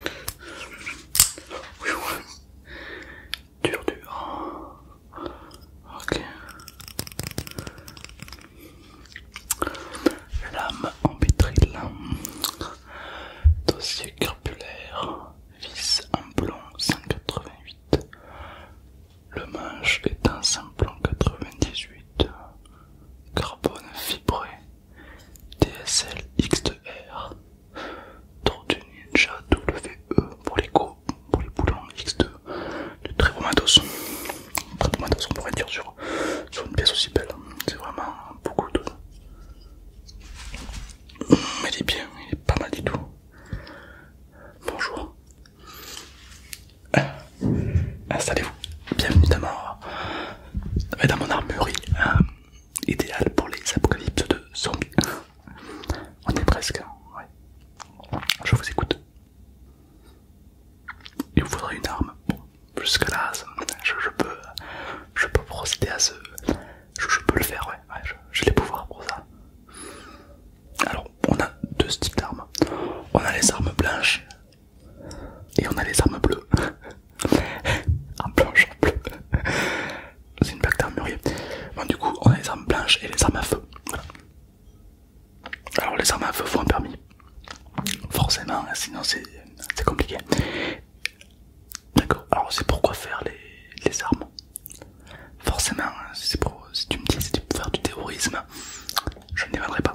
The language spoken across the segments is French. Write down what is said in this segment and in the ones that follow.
Dur, dur. Lame en vitril. Dossier carpulaire, Vis en plomb 188. Le manche est un plomb 98. Carbone fibré DSL X2R, Tortue Ninja WE pour les go, pour les boulons X2, de très beau matos, très beau matos on pourrait dire sur, une pièce aussi belle, hein. c'est vraiment beaucoup de... Mais il est bien, il est pas mal du tout. Bonjour, ah, installez-vous, bienvenue dans, ma, dans mon armurerie. Euh, idéal pour les apocalypses de zombies. On est presque, Je vous écoute. Il vous faudrait une arme. jusque là, je, peux, je peux procéder à ce. Je, peux le faire, ouais. J'ai les pouvoirs pour ça. Alors, on a deux types d'armes. On a les armes blanches et on a les armes bleues. en blanche, en bleu. C'est une plaque d'armurier. Bon, du coup, on a les armes blanches et les armes à feu. Alors, les armes à feu font un permis. Forcément, sinon c'est compliqué. D'accord, alors c'est pourquoi faire les, armes Forcément, si tu me dis que tu pour faire du terrorisme, je ne les pas.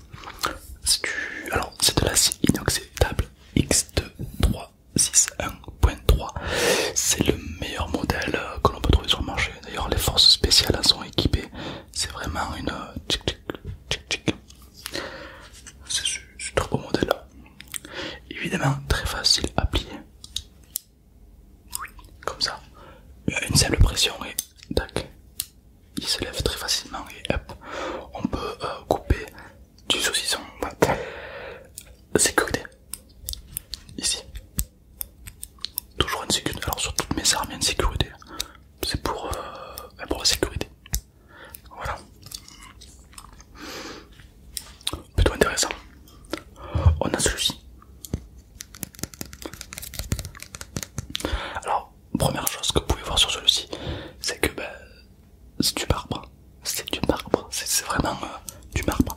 C'est Alors c'est de l'acier inoxydable X2361.3. C'est le meilleur modèle euh, que l'on peut trouver sur le marché. D'ailleurs les forces spéciales en sont équipées. C'est vraiment une... Euh, c'est ce très beau modèle. Évidemment très facile à plier. Comme ça. Une simple pression et Tac. Il se lève très facilement et hop, on peut euh, couper du saucisson. Sécurité. Ici. Toujours une sécurité. Alors sur toutes mes armes, il sécurité. C'est pour, euh, pour la sécurité. Voilà. Plutôt intéressant. On a celui-ci. Alors, première chose que vous pouvez voir sur celui-ci, c'est que bah, c'est du marbre. C'est du marbre, c'est vraiment euh, du marbre.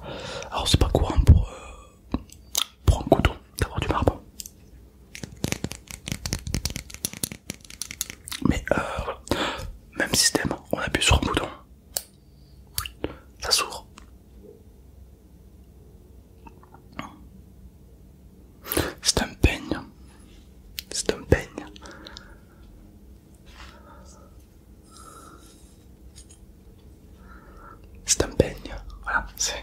Alors c'est pas courant pour, euh, un couteau d'avoir du marbre. Mais euh, voilà, même système, on appuie sur un bouton, ça s'ouvre. C'est un peigne. C'est un peigne. C'est un peigne. Voilà, c'est...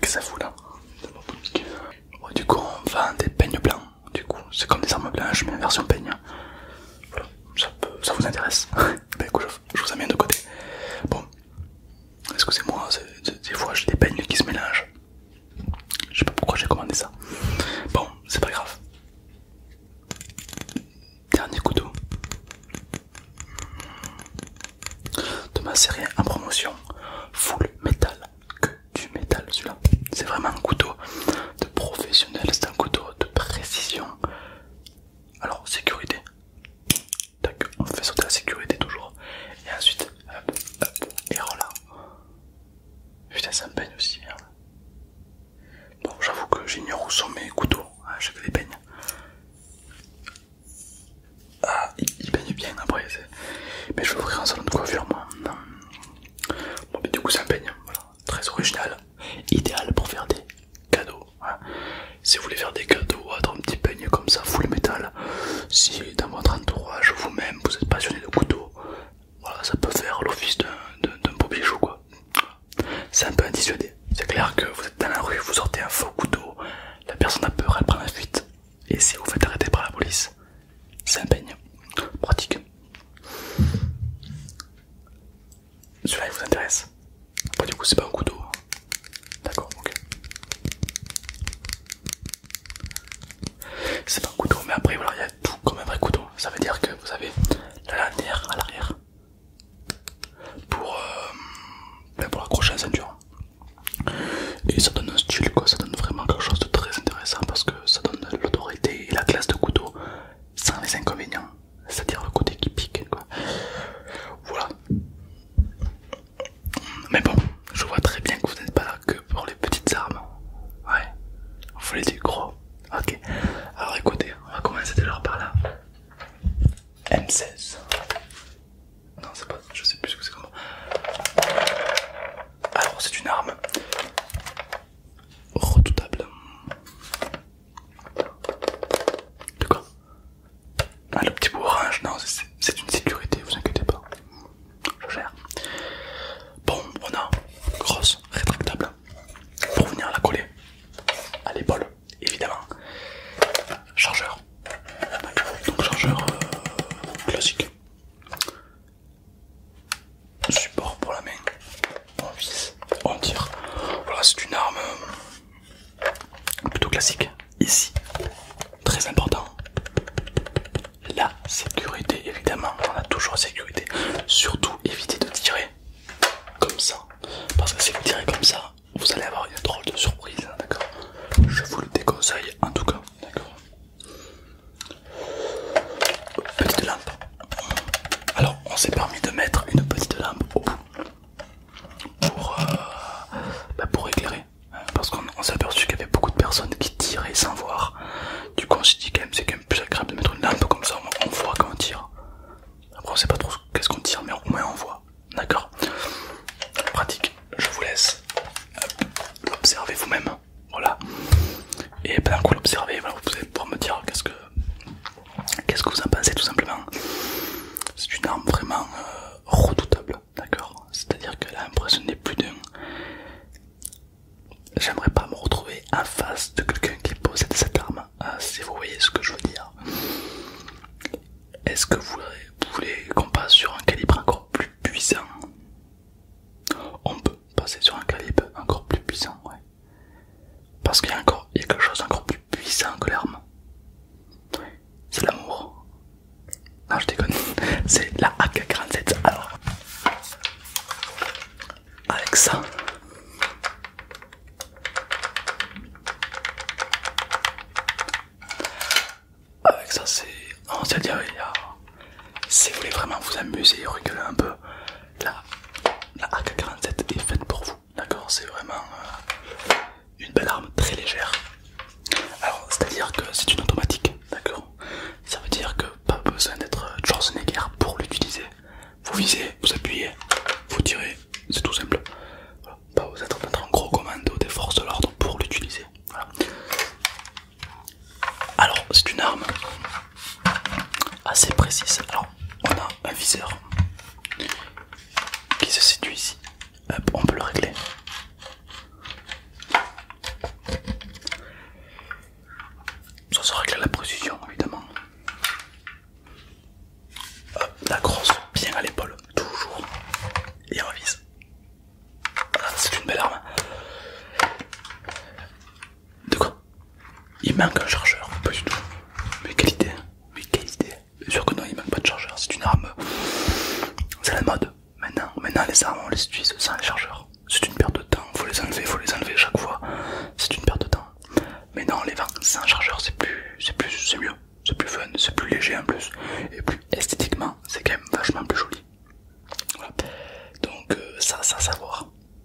que ça fout là Du coup, on vend des peignes blancs. Du coup, c'est comme des armes blanches, mais en version peigne. Voilà, ça, vous intéresse ben, écoute, je vous amène de côté. Bon, Excusez-moi, des fois j'ai des peignes qui se mélangent. Je sais pas pourquoi j'ai commandé ça. Bon, c'est pas grave. Dernier couteau de ma série en promotion Full Metal. Que du métal, celui-là. C'est vraiment un couteau de professionnel, c'est un couteau de précision. Alors, sécurité, Tac, on fait sauter la sécurité toujours. Et ensuite, hop, hop, et voilà. Putain, ça me peigne aussi, Bon, j'avoue que j'ignore où sont mes couteaux. Hein, je les peignes. Ah, il peigne bien après. Mais je vais ouvrir un salon de coiffure, moi. Bon, mais du coup, ça baigne. Voilà, très original. Idéal pour faire des cadeaux. Si vous voulez faire des cadeaux à un petit peigne comme ça, full métal, si dans votre entourage, vous-même, vous êtes passionné de couteaux, voilà, ça peut faire l'office d'un beau bijou C'est un peu indissuadé. C'est clair que vous êtes dans la rue, vous sortez un faux couteau, la personne a peur, elle prend la fuite. Et si vous faites arrêter par la police, c'est un peigne. Pratique. Celui-là il vous intéresse bah, du coup, c'est pas un couteau. Hein. D'accord, ok. C'est pas un couteau, mais après, voilà, il y a tout comme un vrai couteau. Ça veut dire que vous avez la lanière à l'arrière pour, euh, ben, pour accrocher un ceinture. Et ça donne un style, quoi. Ça donne vraiment quelque chose de très intéressant parce que ça donne l'autorité et la classe de couteau sans les inconvénients c'est-à-dire le côté qui pique quoi. Voilà. Mais bon, je vois très bien que vous n'êtes pas là que pour les petites armes. Ouais, vous voulez des gros. Ok, alors écoutez, on va commencer déjà par là. M16. Non, c'est pas. Je sais plus ce que c'est comment. Alors, c'est une arme redoutable. De quoi ah, le petit bout orange, non, c'est une sécurité, vous inquiétez pas. Je gère. Bon, on a grosse rétractable pour venir la coller à l'épaule, évidemment. Chargeur, donc chargeur euh, classique. Support pour la main, on on tire. Voilà, c'est une arme euh, plutôt classique. Ici, très important, la sécurité évidemment, on a toujours sécurité. Surtout évitez de tirer comme ça, parce que si vous tirez comme ça, vous allez avoir une drôle de surprise, hein, d'accord Je vous le déconseille en tout cas, d'accord Petite lampe. Alors on s'est permis de mettre une petite lampe au bout. Euh, bah, pour, éclairer. Parce qu'on s'est aperçu qu'il y avait beaucoup de personnes qui tiraient sans voir. Du coup on s'est dit quand même c'est quand même plus agréable de mettre une lampe comme ça, on, voit quand on tire. Après on sait pas trop qu'est-ce qu'on tire mais au moins on voit. D'accord Pratique, je vous laisse l'observer vous-même. Voilà. Et bien d'un coup vous allez pouvoir me dire qu'est-ce que Qu'est-ce que vous en pensez tout simplement C'est une arme vraiment euh, redoutable, d'accord C'est-à-dire que l'impression n'est plus d'un. J'aimerais pas me retrouver en face de quelqu'un qui possède cette arme, ah, si vous voyez ce que je veux dire. Est-ce que vous voulez qu'on passe sur un calibre encore plus puissant On peut passer sur un calibre encore plus puissant, ouais. Parce qu'il y a encore quelque chose d'encore plus puissant que l'arme. C'est l'amour. Non, je déconne. C'est la AK-47. Alors, avec ça, avec ça, c'est. On s'est dit, si vous voulez vraiment vous amuser, rigoler un peu, la, AK-47 est faite pour vous, d'accord C'est vraiment euh, une belle arme très légère. Alors, c'est-à-dire que c'est une automatique, d'accord Ça veut dire que pas besoin d'être Schwarzenegger pour l'utiliser. Vous visez, vous appuyez, vous tirez, c'est tout simple. Pas besoin d'être un gros commando des forces de l'ordre pour l'utiliser. Alors, c'est une arme assez précise. Alors, on a un viseur qui se situe ici. on peut le régler. Ça se règle la précision, évidemment. Hop, la grosse, bien à l'épaule, toujours. Et on vise. Ah, c'est une belle arme. De quoi Il manque un chargeur, pas du tout. Mais quelle idée, mais quelle idée. Bien sûr que non, il manque pas de chargeur, c'est une arme. C'est la mode. Maintenant, maintenant les armes on les utilise sans les chargeurs. C'est une perte de temps, faut les enlever, faut les enlever chaque fois. C'est une perte de temps. Maintenant on les vend sans chargeur, c'est plus, c'est plus, c'est mieux. C'est plus fun, c'est plus léger en plus. Et plus esthétiquement, c'est quand même vachement plus joli. Donc ça, euh, ça, ça savoir.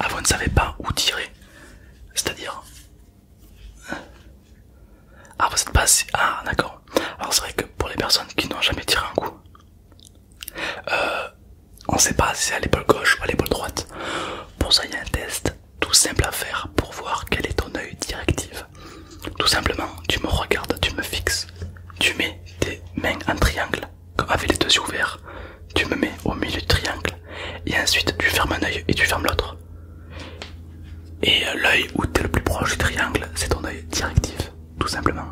Ah, vous ne savez pas où tirer C'est-à-dire hein. Ah, vous n'êtes pas assez... Ah, d'accord. Alors c'est vrai que pour les personnes qui n'ont jamais tiré un coup, euh, on ne sait pas si c'est à l'épaule gauche ou à l'épaule droite. Pour ça, il y a un test tout simple à faire pour voir quel est ton œil directif. Tout simplement, tu me regardes, tu me fixes tu mets tes mains en triangle, avec les deux yeux ouverts, tu me mets au milieu du triangle, et ensuite tu fermes un oeil et tu fermes l'autre. Et euh, l'œil où tu es le plus proche du triangle, c'est ton oeil directif, tout simplement.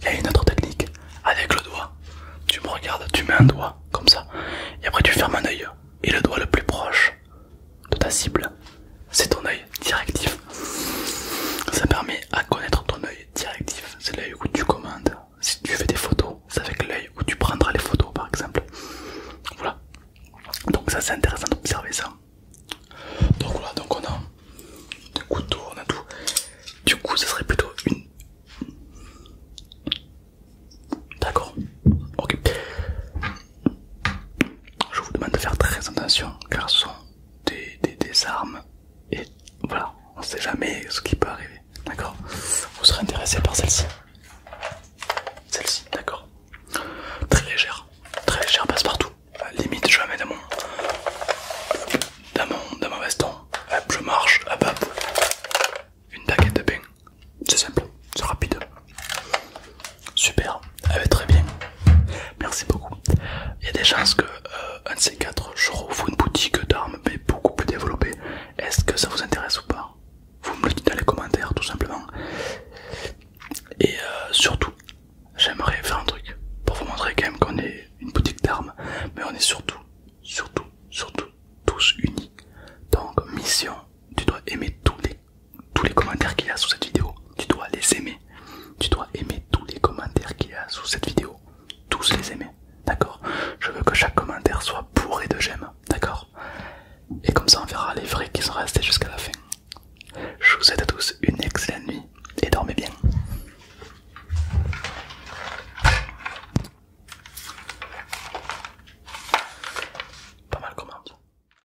Il y a une autre technique, avec le doigt, tu me regardes, tu mets un doigt, comme ça, et après tu fermes un oeil et le doigt le plus proche de ta cible, c'est ton œil directif. Ça permet à connaître ton œil directif. C'est l'œil où tu commandes. Si tu fais des photos, c'est avec l'œil où tu prendras les photos par exemple. Voilà. Donc ça c'est intéressant d'observer ça. Donc voilà, donc on a des couteaux, on a tout. Du coup ce serait plutôt une... D'accord. Ok. Je vous demande de faire très attention car ce des, des, armes et voilà, on sait jamais ce qui peut arriver. D'accord Vous serez intéressé par celle-ci. Celle-ci, d'accord. Très légère, très légère, passe partout. Limite, je la mets dans mon, dans mon, je marche, à hop. Une baguette de pain. C'est simple, c'est rapide. Super, eh ben, très bien. Merci beaucoup. Il y a des chances que euh, un de ces quatre, je rouvre une boutique d'armes mais beaucoup plus développée. Est-ce que ça vous intéresse ou pas Vous me le dites dans les commentaires tout simplement. Et euh, surtout, j'aimerais faire un truc pour vous montrer quand même qu'on est une boutique d'armes, mais on est surtout, surtout, surtout tous unis. Donc mission, tu dois aimer tous les tous les commentaires qu'il y a sous cette vidéo. Tu dois les aimer. Tu dois aimer tous les commentaires qu'il y a sous cette vidéo. Tous les aimer. D'accord Je veux que chaque commentaire soit bourré de j'aime. D'accord Et comme ça, on verra les vrais qui sont restés jusqu'à la fin. Je vous souhaite à tous une excellente nuit et dormez bien. Pas mal comment